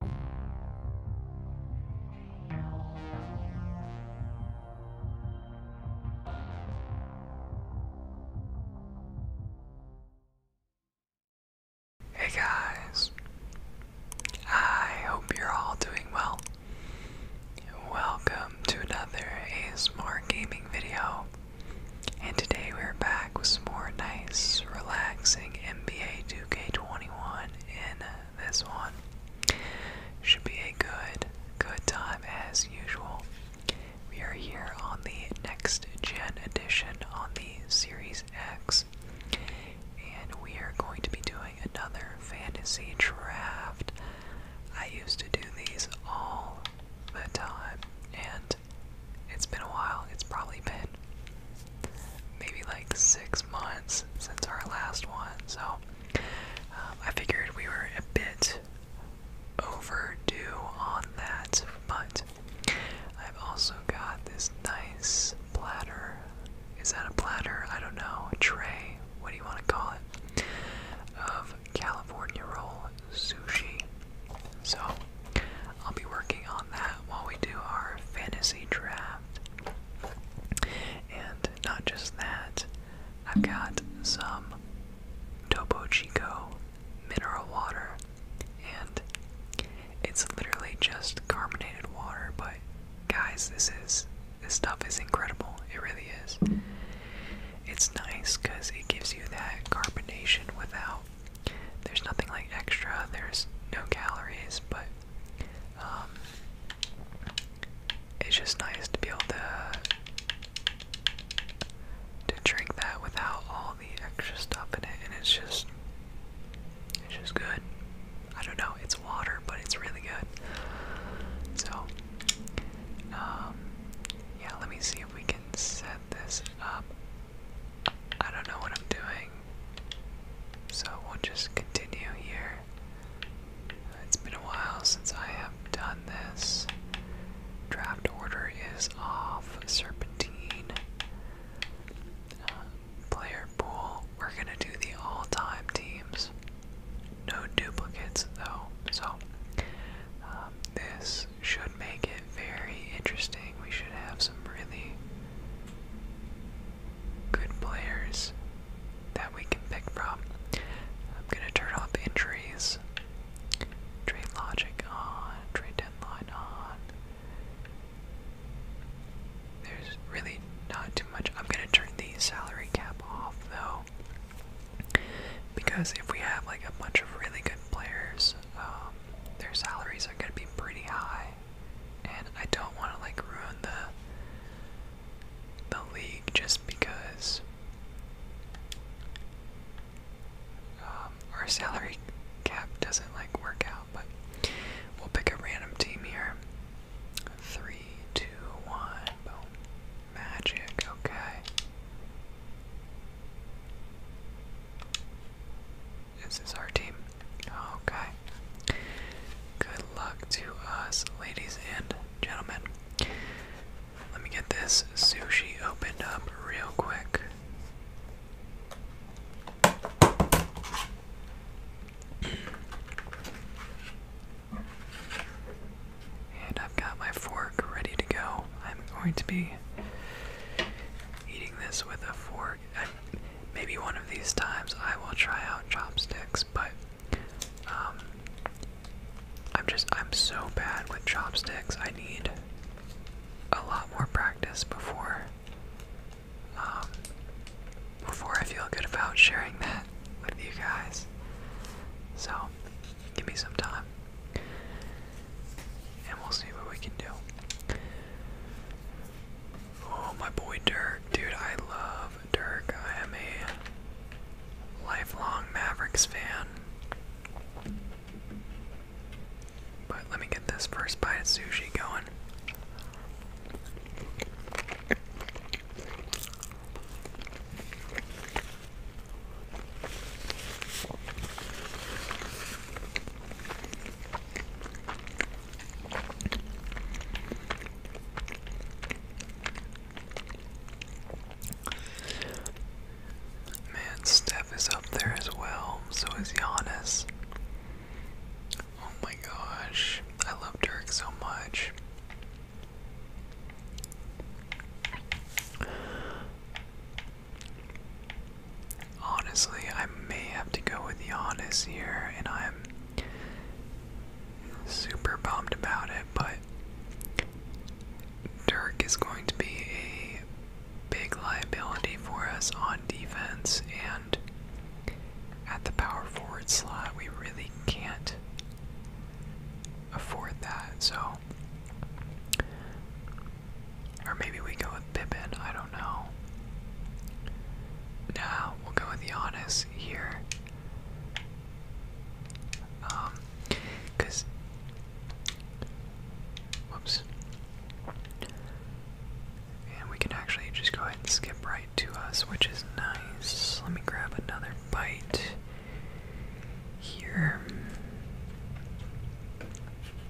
Hey guys, I hope you're all doing well. Welcome to another ASMR gaming video, and today we're back with some more nice, relaxing NBA 2K21 in this one. Should be a good, good time as usual. We are here on the next gen edition on the Series X, and we are going to be doing another fantasy draft. I used to do these all the time, and it's been a while. It's probably been maybe like six months since our last one, so um, I figured we were a bit overdue on that. But I've also got this nice platter. Is that a platter? I don't know. A tray? What do you want to call it? Of California roll sushi. So I'll be working on that while we do our fantasy draft. And not just that, I've got some Topo Chico mineral water, and it's literally just carbonated water, but guys, this is this stuff is incredible. It really is. It's nice because it gives you that carbonation without. There's nothing like extra, there's no calories, but um, it's just nice to be able to to drink that without all the extra stuff in it, and it's just it's just good. I don't know. It's water, but it's really good. So, um, yeah. Let me see if we can set this up. I don't know what I'm doing. So we'll just continue here. It's been a while since I have done this. Draft order is off. Serpentine. Uh, player pool. We're gonna do the all time teams. No duplicates though. So um, this should make it very interesting. We should have some really good players that we can pick from. I'm gonna turn off injuries. Trade logic on, trade deadline on. There's really not too much. I'm gonna turn the salary cap off though, because if we have like a bunch of really good players, um, their salaries are gonna be pretty high and I don't want to like ruin the the league just because um, our salary cap doesn't like work out. But we'll pick a random team here. Three, two, one, boom. Magic. Okay. This Is our team? Okay. Good luck to us, ladies and gentlemen. Let me get this sushi opened up real quick. And I've got my fork ready to go. I'm going to be eating this with a fork. Maybe one of these times I will try out chopsticks, but um, I'm just I'm so bad with chopsticks. I need a lot more practice before um, before I feel good about sharing that with you guys. So give me some time, and we'll see what we can do. Oh, my boy Dirk. Dude, I love Dirk. I am a lifelong Mavericks fan. But let me get this first bite of sushi going. Man, Steph is up there as well, so is Giannis. Oh my gosh, I love Dirk so much. Honestly, I may have to go with Giannis here, and I'm super bummed about it, but Dirk is going to be a big liability for us on defense, and at the power forward slot, we really can't afford that. So or maybe we go with Pippin, I don't know. Nah, we'll go with Giannis here. Um, cause, whoops. And we can actually just go ahead and skip right to us, which is nice. Let me grab another bite here.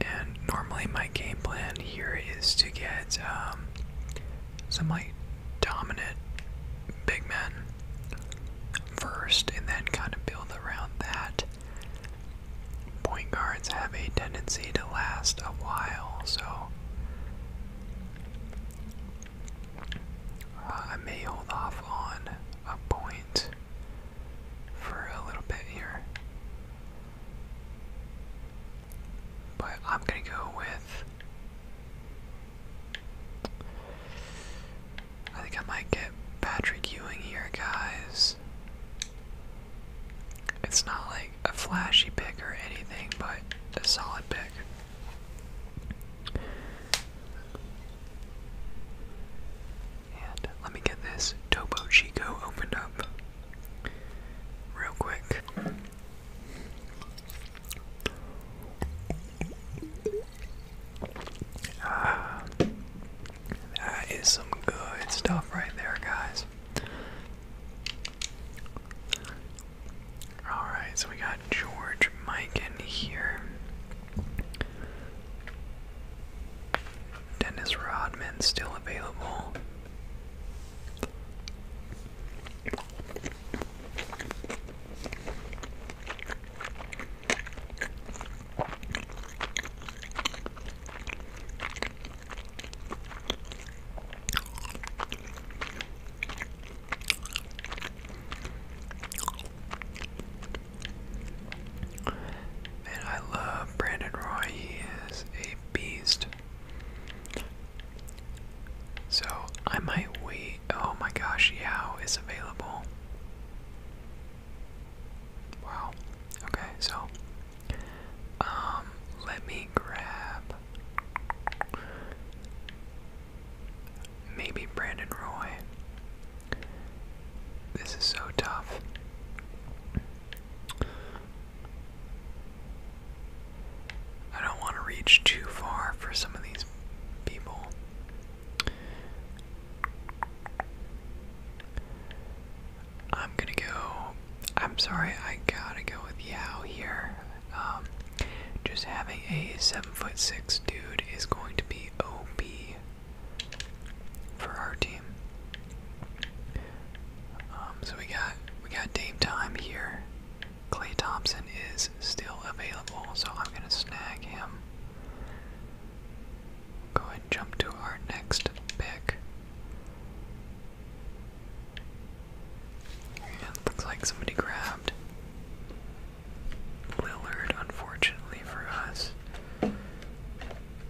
And normally my game plan here is to get um, some like dominant big men first and then kind of build around that. Point guards have a tendency to last a while, so uh, I may hold off on a point for a little bit here. But I'm gonna go with. I think I might get Patrick Ewing here, guys. It's not like a flashy pick or anything, but a solid pick. And let me get this Tobo Chico opened up real quick. Ah, that is some good stuff right there, guys. Alright, so we got George Mike in here. Dennis Rodman still available. Man, I love Brandon Roy. He is a beast. So I might wait. Oh my gosh, Yao is available. Wow. Okay, so um let me grab maybe Brandon Roy. This is so tough. I don't want to reach too far for some of these people. I'm gonna go. I'm sorry, I gotta go with Yao here. Um, just having a seven foot six dude is going to be OB for our team. Um, so we got we got Dame Time here. Clay Thompson is still available, so I'm gonna snag him. Go ahead jump to our next pick. looks like somebody grabbed Lillard, unfortunately for us.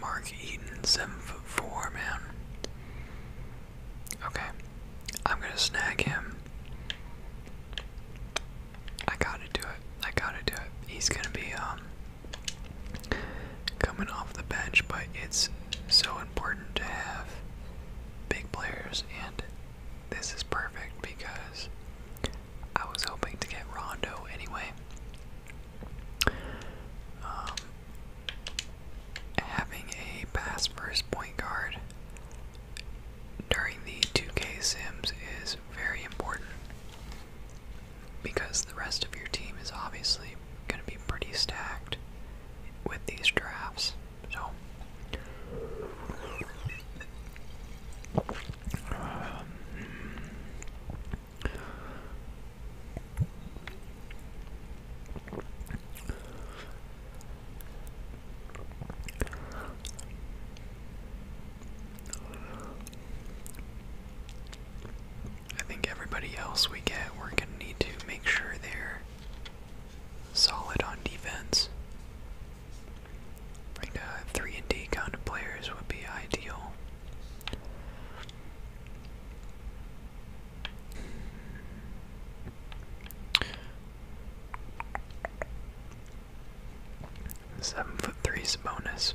Mark Eaton, seven foot four, man. Okay, I'm gonna snag him. I gotta do it. I gotta do it. He's gonna be um, coming off the bench, but it's so important to have big players, and this is perfect because I was hoping to get Rondo anyway. Um, having a pass first point guard during the 2K Sims is very important because the rest of your team is obviously going to be pretty stacked with these drafts. So. I think everybody else we get, we're going to need to make sure they're solid on defense. Bring the uh, three and D kind of players would be ideal. Seven foot three Sabonis.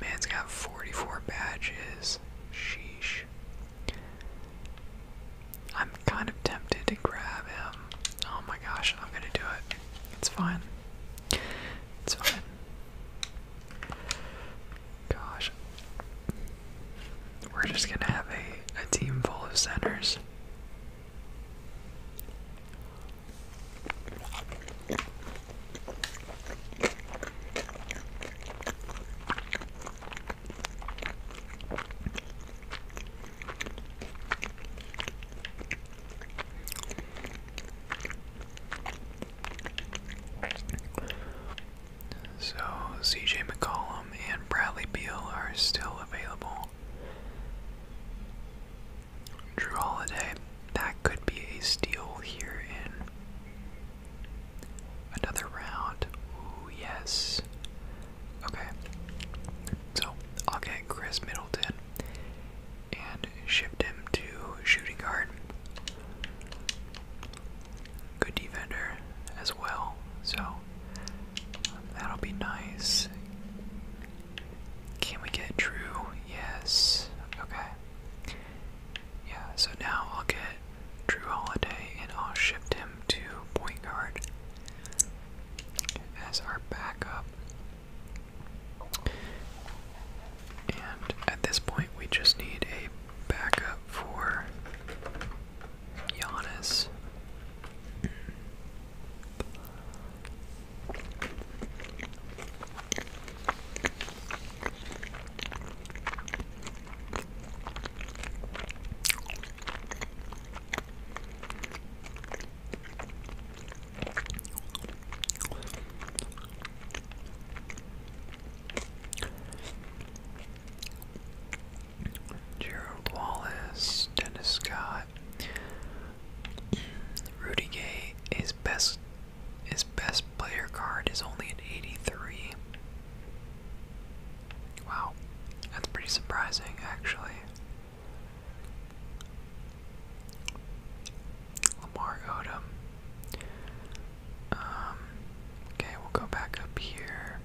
Man's got forty-four badges. Sheesh. I'm kind of tempted to grab him. Oh my gosh, I'm gonna do it. It's fine. It's fine. Gosh. We're just gonna have a, a team full of centers. So CJ McCollum and Bradley Beal are still available. Drew Holiday, that could be a steal here in another round. Ooh, yes. Okay. So I'll get Chris Middleton and shipped him to shooting guard. Good defender as well, so um, that'll be nice. Can we get Drew? Yes. Okay. Yeah, so now I'll get Drew Holiday and I'll shift him to point guard as our backup. And at this point, we just need a backup for Giannis. Gerald Wallace, Dennis Scott, Rudy Gay. His best, his best player card is only an 83. Wow, that's pretty surprising, actually. Lamar Odom. Um, okay, we'll go back up here.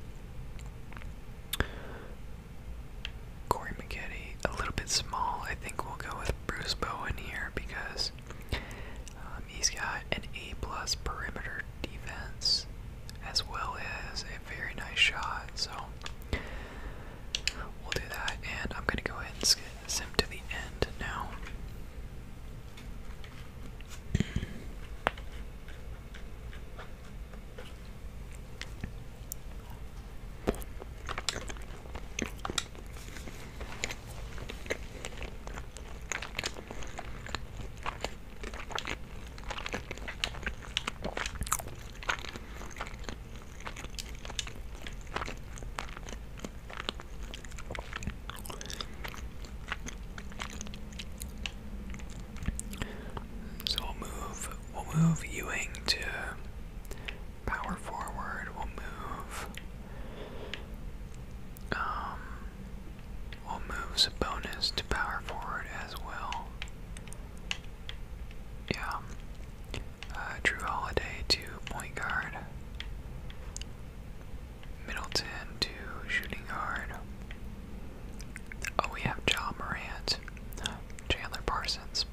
Corey McGetty, a little bit small. I think we'll go with Bruce Bowen here because um, he's got an A plus perimeter defense as well as a very nice shot. So We'll do that, and I'm gonna go ahead and skip sim to the end now. So we'll move we'll move Ewing to power forward, we'll move um we'll move Sabonis to power forward as well. Yeah. Uh, Drew Holiday to point guard. Middleton to shooting guard. Oh, we have John Morant. Chandler Parsons.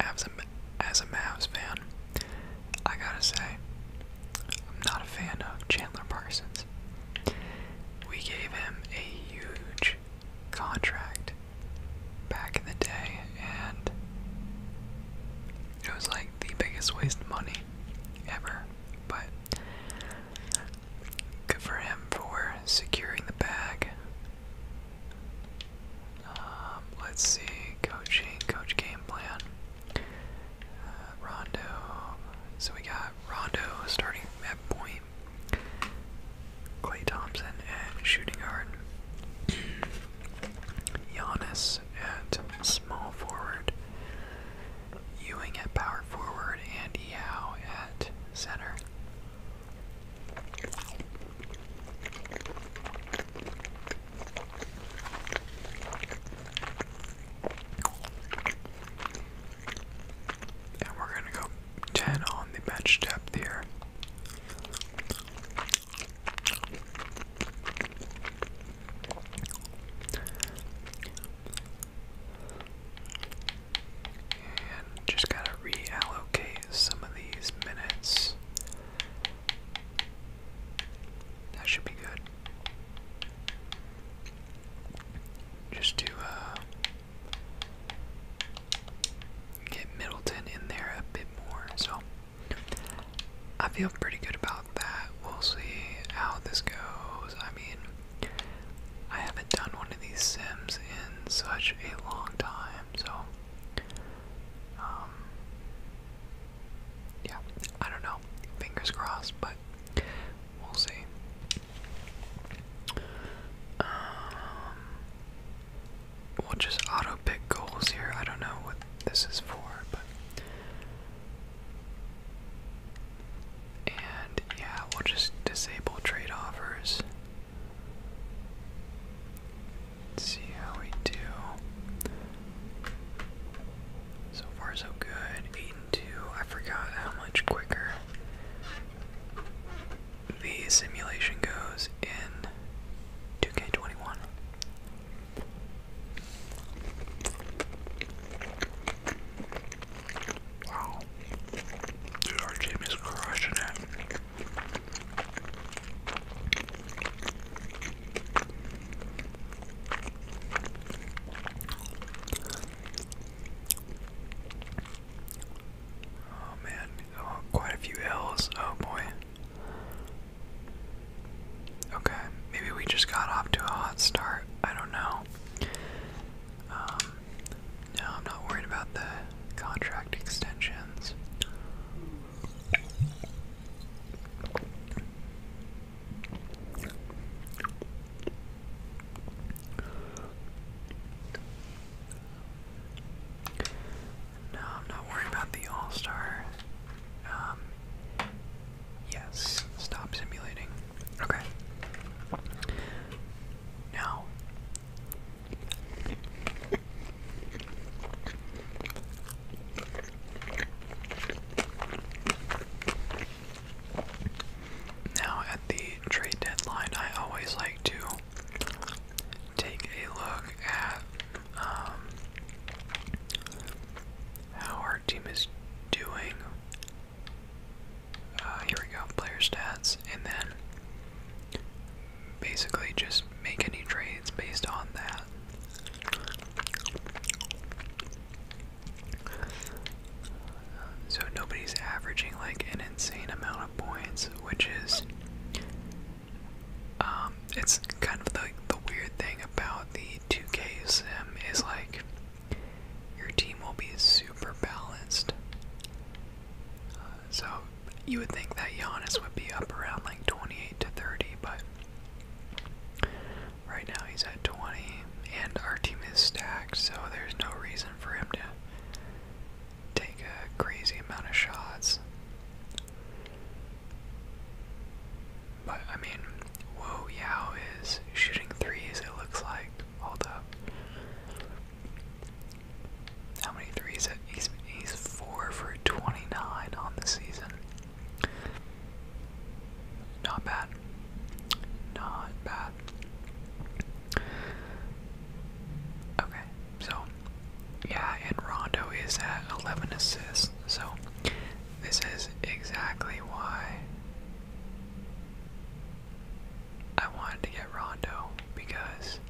As a, as a Mavs fan, I gotta say, I'm not a fan of Chandler Parsons. We gave him a huge contract back in the day, and it was like the biggest waste of money ever. But good for him for securing the bag. Um, let's see, coaching, coach game plan. Uh, Rondo. So we got Rondo starting at point Lee, Clay Thompson at uh, shooting guard, Giannis at uh, small forward, Ewing at power forward, and Yao at center. And we're going to go 10 on the bench depth here. And just gotta reallocate some of these minutes. That should be good. Just to uh get Middleton in there a bit more. So I feel pretty good about that. We'll see how this goes. I mean, I haven't done one of these sims in such a long time, so um, yeah, I don't know. Fingers crossed, but we'll see. Um, we'll just auto pick goals here. I don't know what this is for, but and yeah, we'll just disable trade offers. see how we do. So far, so good. Eight and two. I forgot how much quicker the simulation goes in 2K21. Wow. Dude, our team is crushing it. Oh man, oh, quite a few L's. Oh boy. Okay, maybe we just got off to a hot start. I don't know. Um, no, I'm not worried about the contract extensions. No, I'm not worried about the All Star. Um, yes, stop simulating. Okay. Now. Now, at the trade deadline, I always like to take a look at um, how our team is doing. Uh, here we go, player stats, and then basically just make any trades based on that. So nobody's averaging like an insane amount of points which is um, it's kind of like the, weird thing about the 2K sim is like your team will be super balanced. so you would think that Giannis would be up around like 28 to 30, but right now he's at 20, and our team is stacked, so there's no reason for him to take a crazy amount of shots. But I mean, Wu Yao is shooting threes, it looks like. Hold up. How many threes? He's, he's 4 for 29 on the season. Not bad. Not bad. Okay, so yeah, and Rondo is at 11 assists, so this is exactly why I wanted to get Rondo because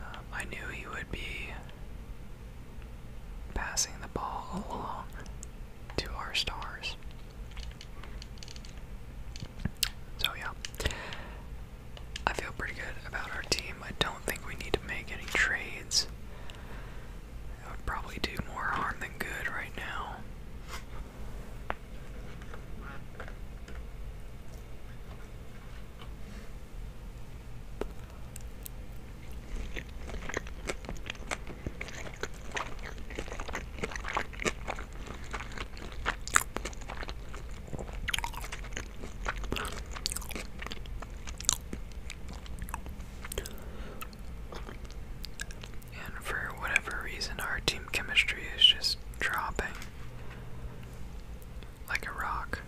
um, I knew he would be passing the ball along to our stars. So yeah. I feel pretty good about our team. I don't think we need to make any trades. That would probably do more harm than good right now. And for whatever reason, our team chemistry is just dropping like a rock.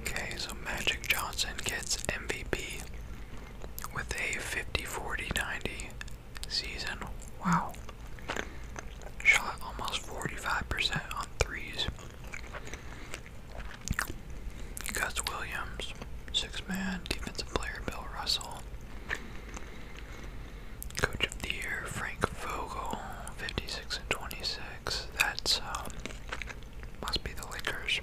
Okay, so Magic Johnson gets MVP with a 50 40 90 season. Wow. Shot almost 45% on threes. Gus Williams, six man, defensive player Bill Russell. Coach of the Year, Frank Vogel, 56 and 26. That's, um, must be the Lakers.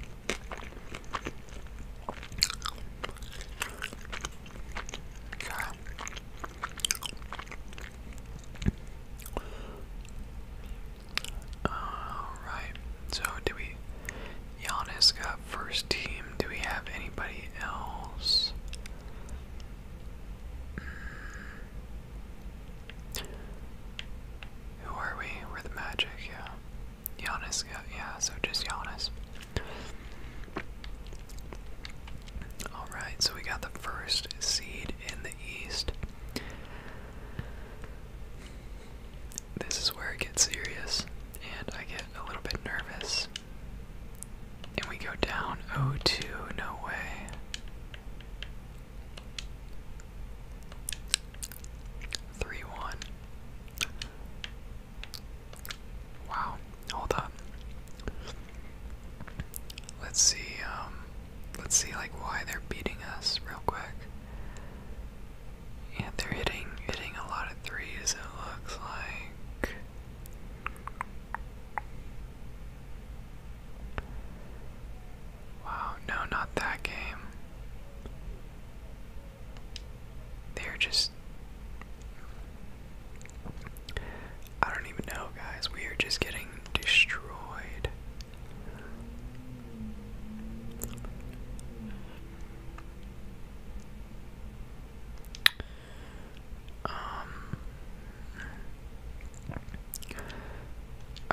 Alright, so did we Giannis got first team. Do we have anybody else? Mm. Who are we? We're the Magic, yeah. Giannis got, yeah, so just Giannis. Alright, so we got the first seed in the East. This is where it gets serious, and I get a little bit nervous. And we go down Oh two, no way. Three one. Wow. Hold up. Let's see, um let's see like why they're beating us real quick. And they're hitting hitting a lot Three, of it looks like. Wow, no, not that game. They're just. I don't even know, guys. We are just getting destroyed. Um,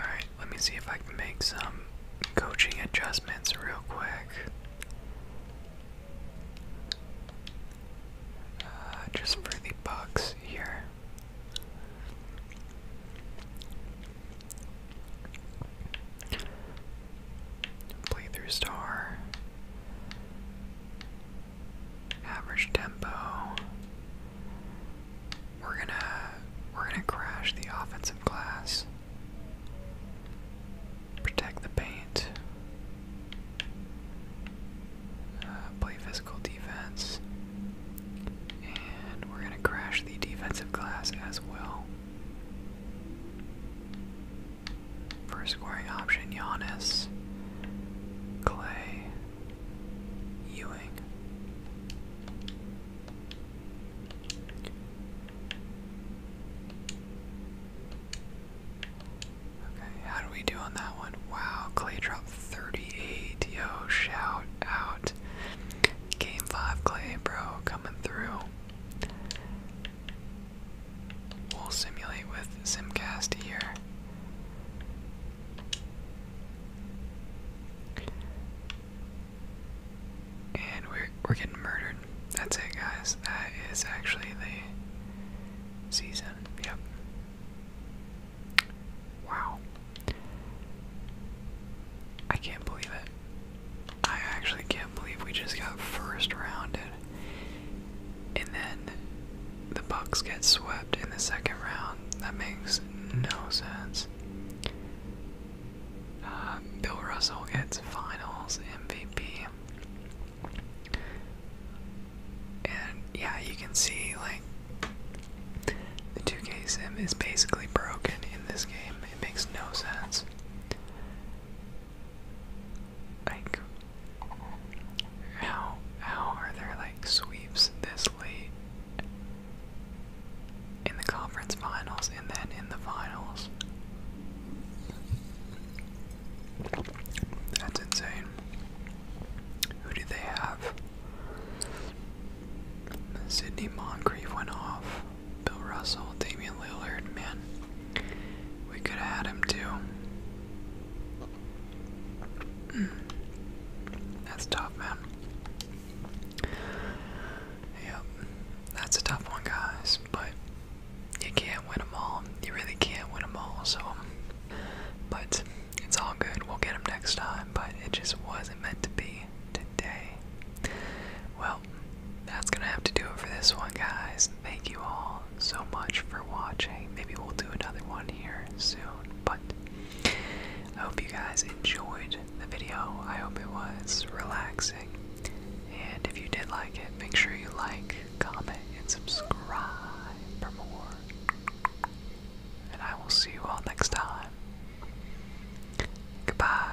Alright, let me see if I can make some coaching adjustments real quick. Uh, just for the Bucks here. Playthrough star. Average tempo. We're gonna we're gonna crash the offensive glass. Protect the paint. Uh, play physical defense. And we're gonna crash the defensive glass as well. First scoring option, Giannis, Clay, Ewing. Okay, how do we do on that one? Wow, Clay dropped 38. Yo, shout out. Game 5 Clay, bro, coming through. We'll simulate with Simcast here. And we're we're getting murdered. That's it guys. That is actually the season. Yep. Wow. I can't believe it. I actually can't believe we just got first rounded. And then the Bucks get swept in the second round. That makes no sense. Uh, Bill Russell gets finals MVP. And yeah, you can see like the 2K sim is basically broken in this game. It makes no sense. Like, how how are there like sweeps this late in the conference finals and then in the finals? That's insane. Who do they have? Sydney Moncrief went off. Bill Russell, Damian Lillard, man. We could have had him too. Hmm. That's tough, man. Yep, that's a tough one, guys. But you can't win them all. You really can't win them all. So, but it's all good. We'll get them next time. But it just wasn't meant to be today. Well that's gonna have to do it for this one, guys. Thank you all so much for watching. Maybe we'll do another one here soon, but I hope you guys enjoyed the video. I hope it was relaxing. And if you did like it, make sure you like, comment, and subscribe for more. And I will see you all next time. Goodbye.